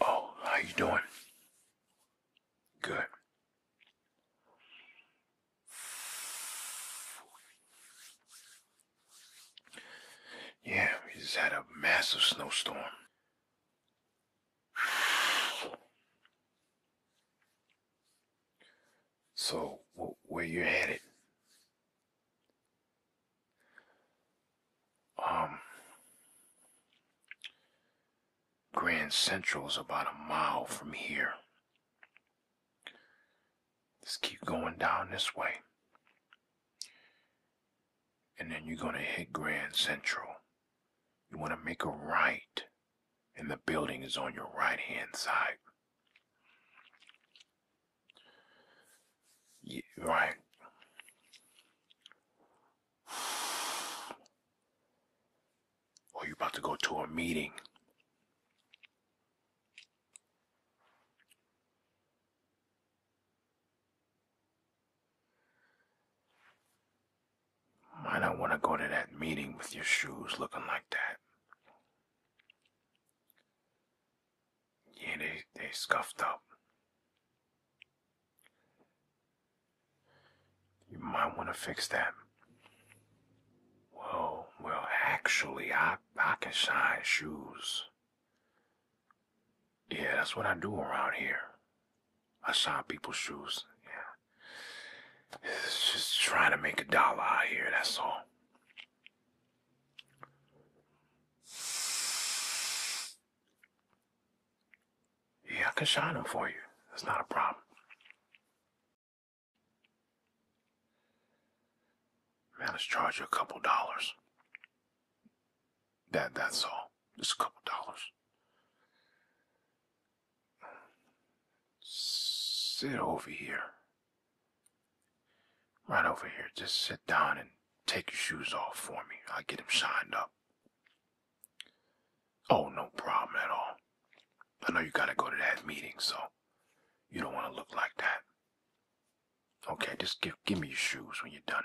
Oh, how you doing? Good. Yeah, we just had a massive snowstorm. So, where you headed? Um, Grand Central's about a mile from here. Just keep going down this way. And then you're gonna hit Grand Central. You wanna make a right and the building is on your right hand side. Yeah, right. Or oh, you're about to go to a meeting. I don't want to go to that meeting with your shoes looking like that. Yeah, they, they scuffed up. You might want to fix that. Well, well, actually, I, I can shine shoes. Yeah, that's what I do around here. I shine people's shoes. Yeah. just trying to make a dollar out here, that's all. Yeah, I can shine them for you. That's not a problem. Man, let's charge you a couple dollars. That that's all. Just a couple dollars sit over here. Right over here. Just sit down and take your shoes off for me. I'll get them shined up. Oh, no problem at all. I know you gotta go to that meeting, so you don't want to look like that. Okay, just give, give me your shoes when you're done.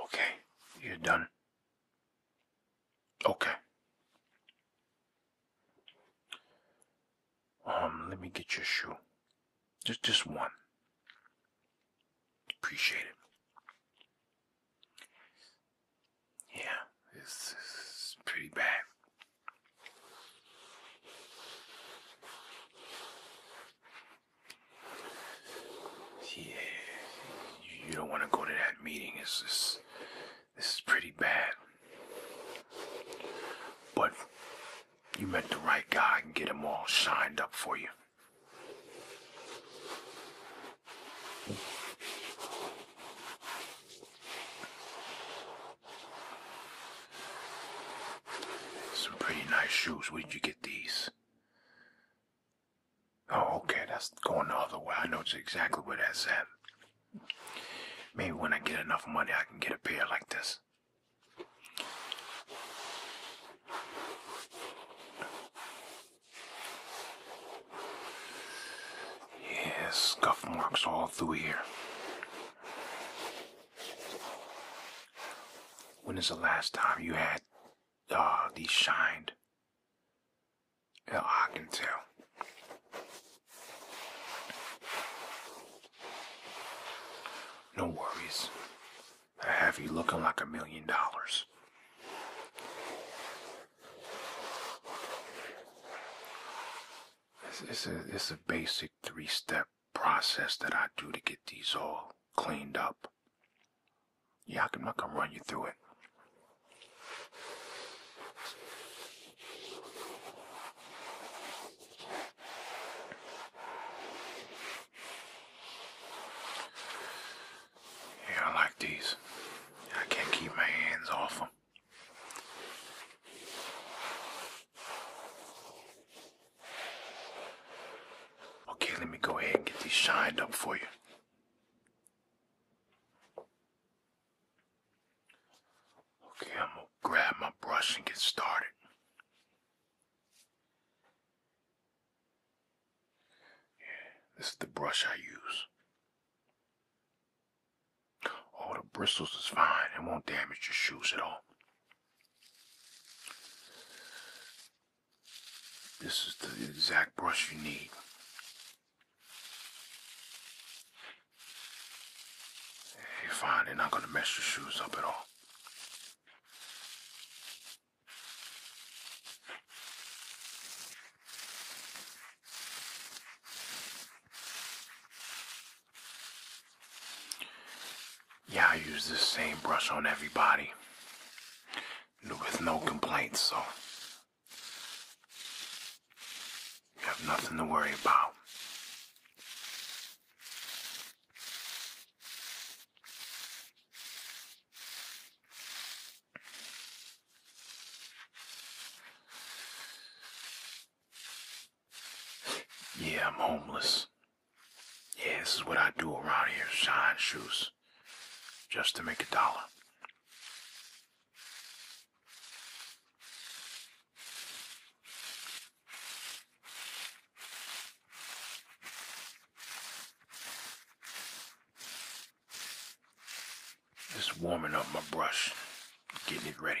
Okay, you're done. Okay. Um, let me get your shoe. Just just one. Appreciate it. Yeah, this is pretty bad. Yeah, you, don't want to go to that meeting. It's just, this is pretty bad. But you met the right guy and get them all shined up for you. Some pretty nice shoes. Where'd you get? these? Oh, okay, that's going the other way. I know exactly where that's at. Maybe when I get enough money, I can get a pair like this. Yes, scuff marks all through here. When is the last time you had uh, these shined? Hell, I can tell. No worries. I have you looking like a million dollars. This is a basic three-step process that I do to get these all cleaned up. Yeah, i can run you through it. Yeah, I like these. I can't keep my hands off them. Okay, let me go ahead and get these shined up for you. Okay, I'm gonna grab my brush and get started. Yeah, this is the brush I use. All the bristles is fine. It won't damage your shoes at all. This is the exact brush you need. You're fine, they're not going to mess your shoes up at all. Yeah, I use this same brush on everybody with no complaints, so you have nothing to worry about. Yeah, I'm homeless. Yeah, this is what I do around here, shine shoes. Just to make a dollar. Just warming up my brush, getting it ready.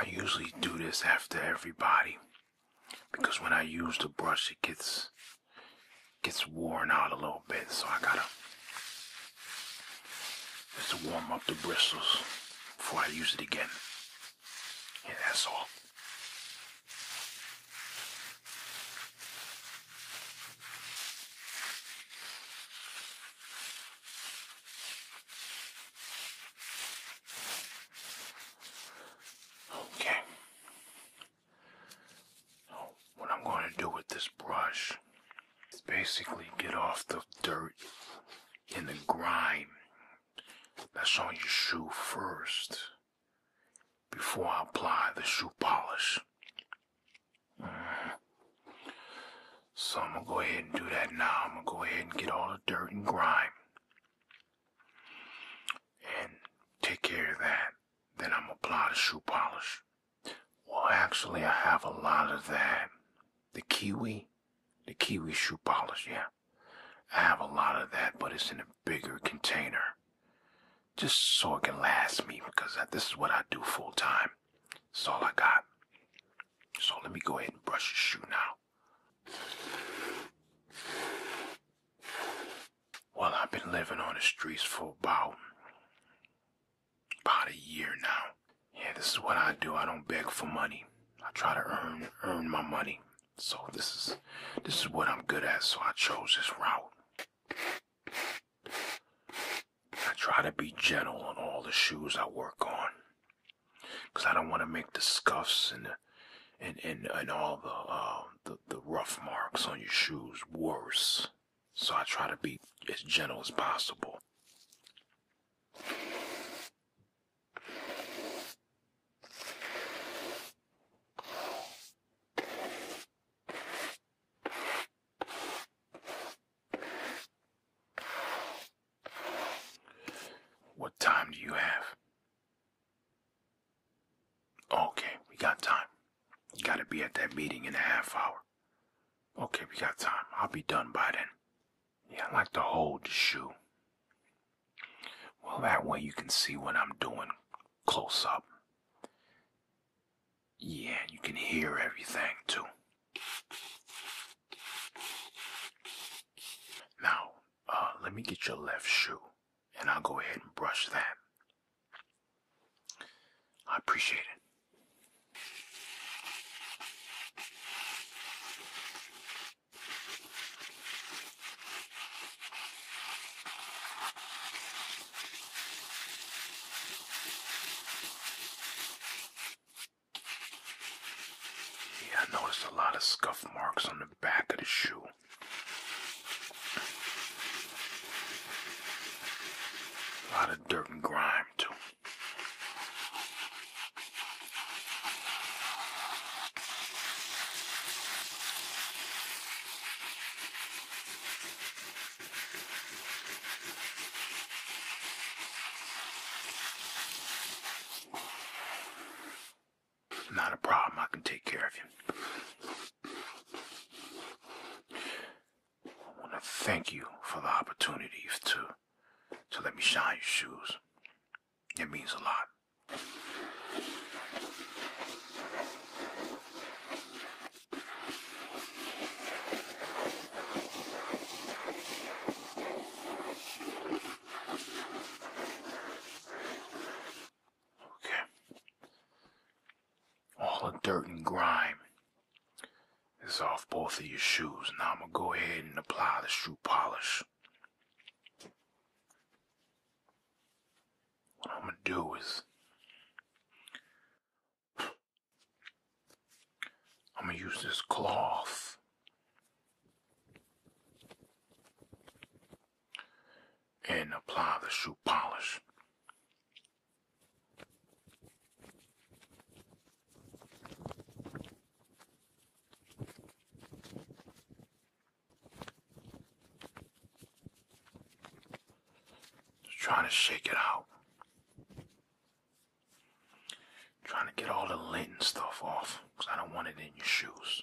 I usually do this after everybody because when I use the brush it gets gets worn out a little bit so I gotta just warm up the bristles before I use it again. Yeah, that's all. Okay. what I'm going to do with this brush is basically get off the dirt and the grime that's on your shoe first before I apply the shoe polish. So I'm gonna go ahead and do that now. I'm gonna go ahead and get all the dirt and grime and take care of that. Then I'm gonna apply the shoe polish. Well, actually, I have a lot of that. The kiwi, the kiwi shoe polish, yeah. I have a lot of that, but it's in a bigger container just so it can last me because this is what I do full time. It's all I got. So let me go ahead and brush your shoe now. Well, I've been living on the streets for about about a year now. Yeah, this is what I do. I don't beg for money. I try to earn earn my money. So this is this is what I'm good at. So I chose this route. I try to be gentle on all the shoes I work on. Because I don't want to make the scuffs and and, and, and all uh, the, the rough marks on your shoes worse. So I try to be as gentle as possible. What time do you have? Okay, we got time. gotta be at that meeting in a half hour. Okay, we got time. I'll be done by then. Yeah, I like to hold the shoe. Well, that way you can see what I'm doing close up. Yeah, you can hear everything too. Now, uh, let me get your left shoe and I'll go ahead and brush that. I appreciate it. Yeah, I noticed a lot of scuff marks on the back of the shoe. A lot of dirt and grime, too. Not a problem, I can take care of you. I want to thank you for the opportunity to, to let me shine your shoes. It means a lot. Okay. All the dirt and grime is off both of your shoes. Now I'm going to go ahead and apply the shoe polish what I'm gonna do is I'm gonna use this cloth and apply the shoe polish. Just trying to shake it out. Trying to get all the lint and stuff off because I don't want it in your shoes.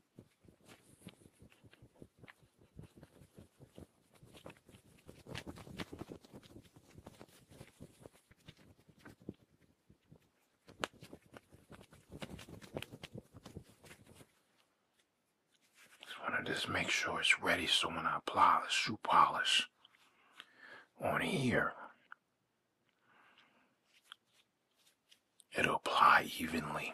I want to just make sure it's ready so when I apply the shoe polish on here It'll apply evenly.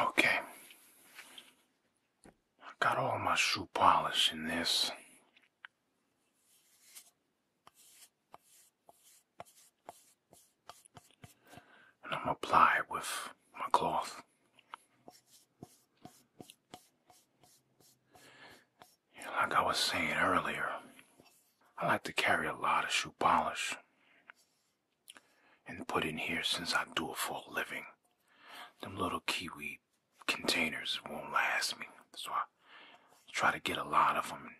Okay. I got all my shoe polish in this. And I'm gonna apply it with my cloth. Like I was saying earlier, I like to carry a lot of shoe polish and put in here since I do it for a living. Them little kiwi containers won't last me, so I try to get a lot of them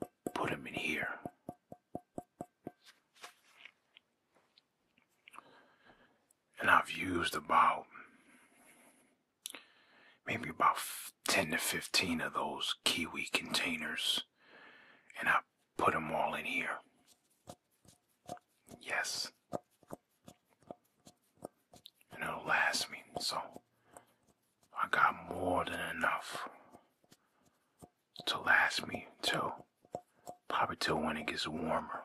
and put them in here. And I've used about maybe about 10 to 15 of those kiwi containers and I put them all in here. Yes. And it'll last me. So I got more than enough to last me till probably till when it gets warmer.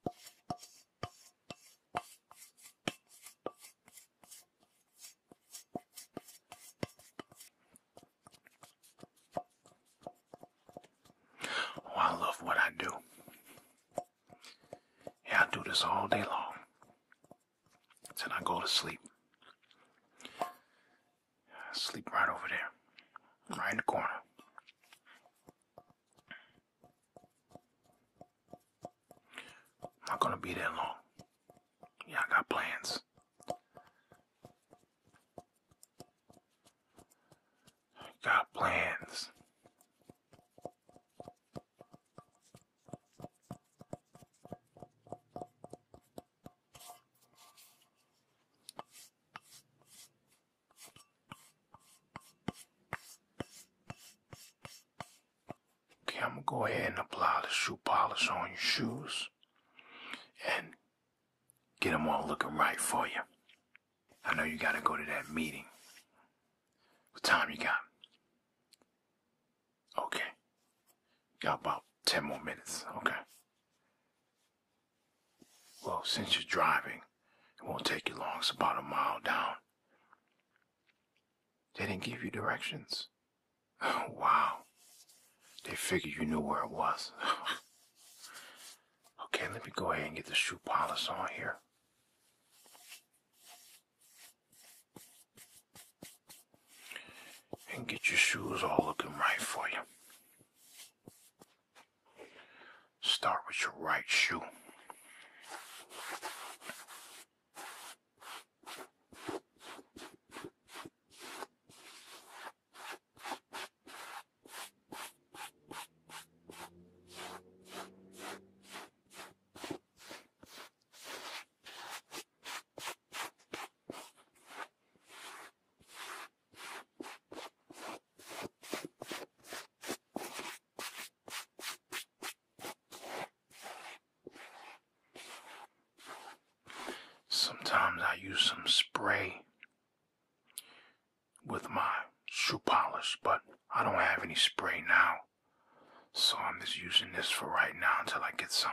Oh, I love what I do. Yeah, I do this all day long. Till I go to sleep. sleep right over there, right in the corner. I'm not gonna be that long. Yeah, I got plans. I got plans. Okay, I'm gonna go ahead and apply the shoe polish on your shoes and get them all looking right for you. I know you gotta go to that meeting. What time you got? Okay. Got about 10 more minutes. Okay. Well, since you're driving, it won't take you long. It's about a mile down. They didn't give you directions. Oh, wow. They figured you knew where it was. okay, let me go ahead and get the shoe polish on here. And get your shoes all looking right for you. Start with your right shoe. Sometimes I use some spray with my shoe polish, but I don't have any spray now. So I'm just using this for right now until I get some.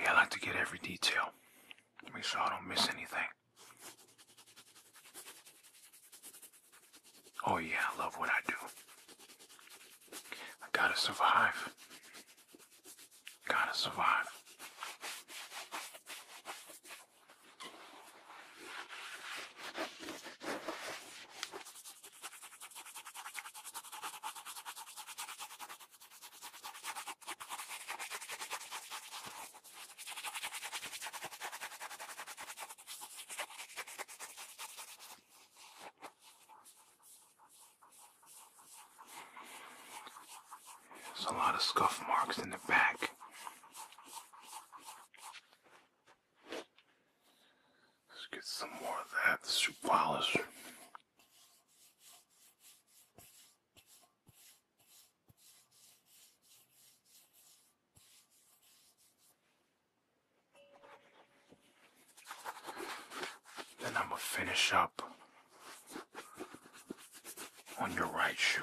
Yeah, I like to get every detail. Make sure I don't miss anything. Oh yeah, I love what I do. I gotta survive. Gotta survive. There's a lot of scuff marks in the back. Let's get some more of that, the soup polish. Then I'm gonna finish up on your right shoe.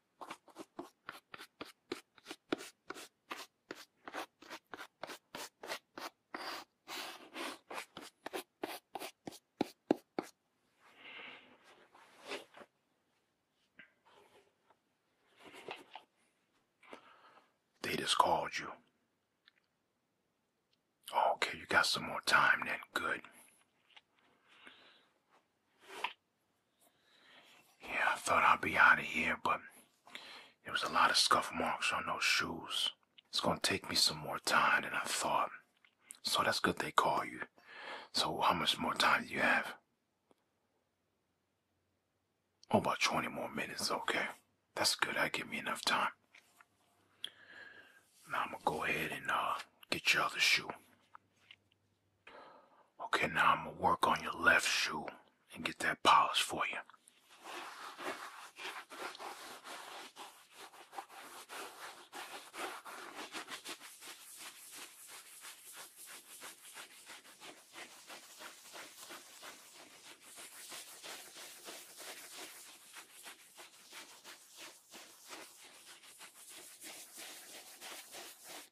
They just called you. Oh, okay, you got some more time then. Good. Yeah, I thought I'd be out of here, but there was a lot of scuff marks on those shoes. It's gonna take me some more time than I thought. So that's good they called you. So how much more time do you have? Oh, about 20 more minutes, okay. That's good, that give me enough time. Now I'm gonna go ahead and uh, get your other shoe. Okay, now I'm gonna work on your left shoe and get that polished for you.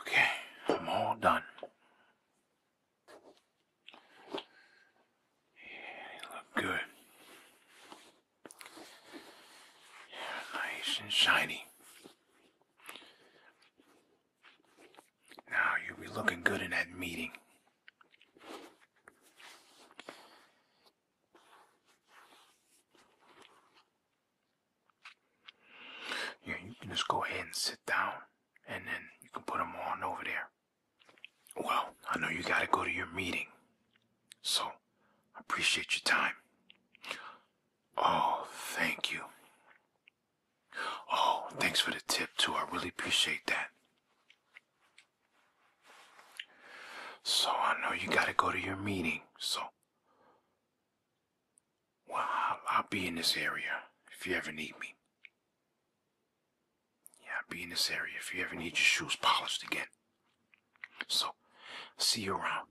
Okay, I'm all done. Yeah, they good. nice and shiny. Now you'll be looking good in that meeting. Yeah, you can just go ahead and sit down and then you can put them on over there. Well, I know you gotta go to your meeting, so I appreciate your time. Oh, thank you. Oh, thanks for the tip, too. I really appreciate that. So I know you gotta go to your meeting, so. I'll, I'll be in this area if you ever need me. Yeah, I'll be in this area if you ever need your shoes polished again. So, see you around.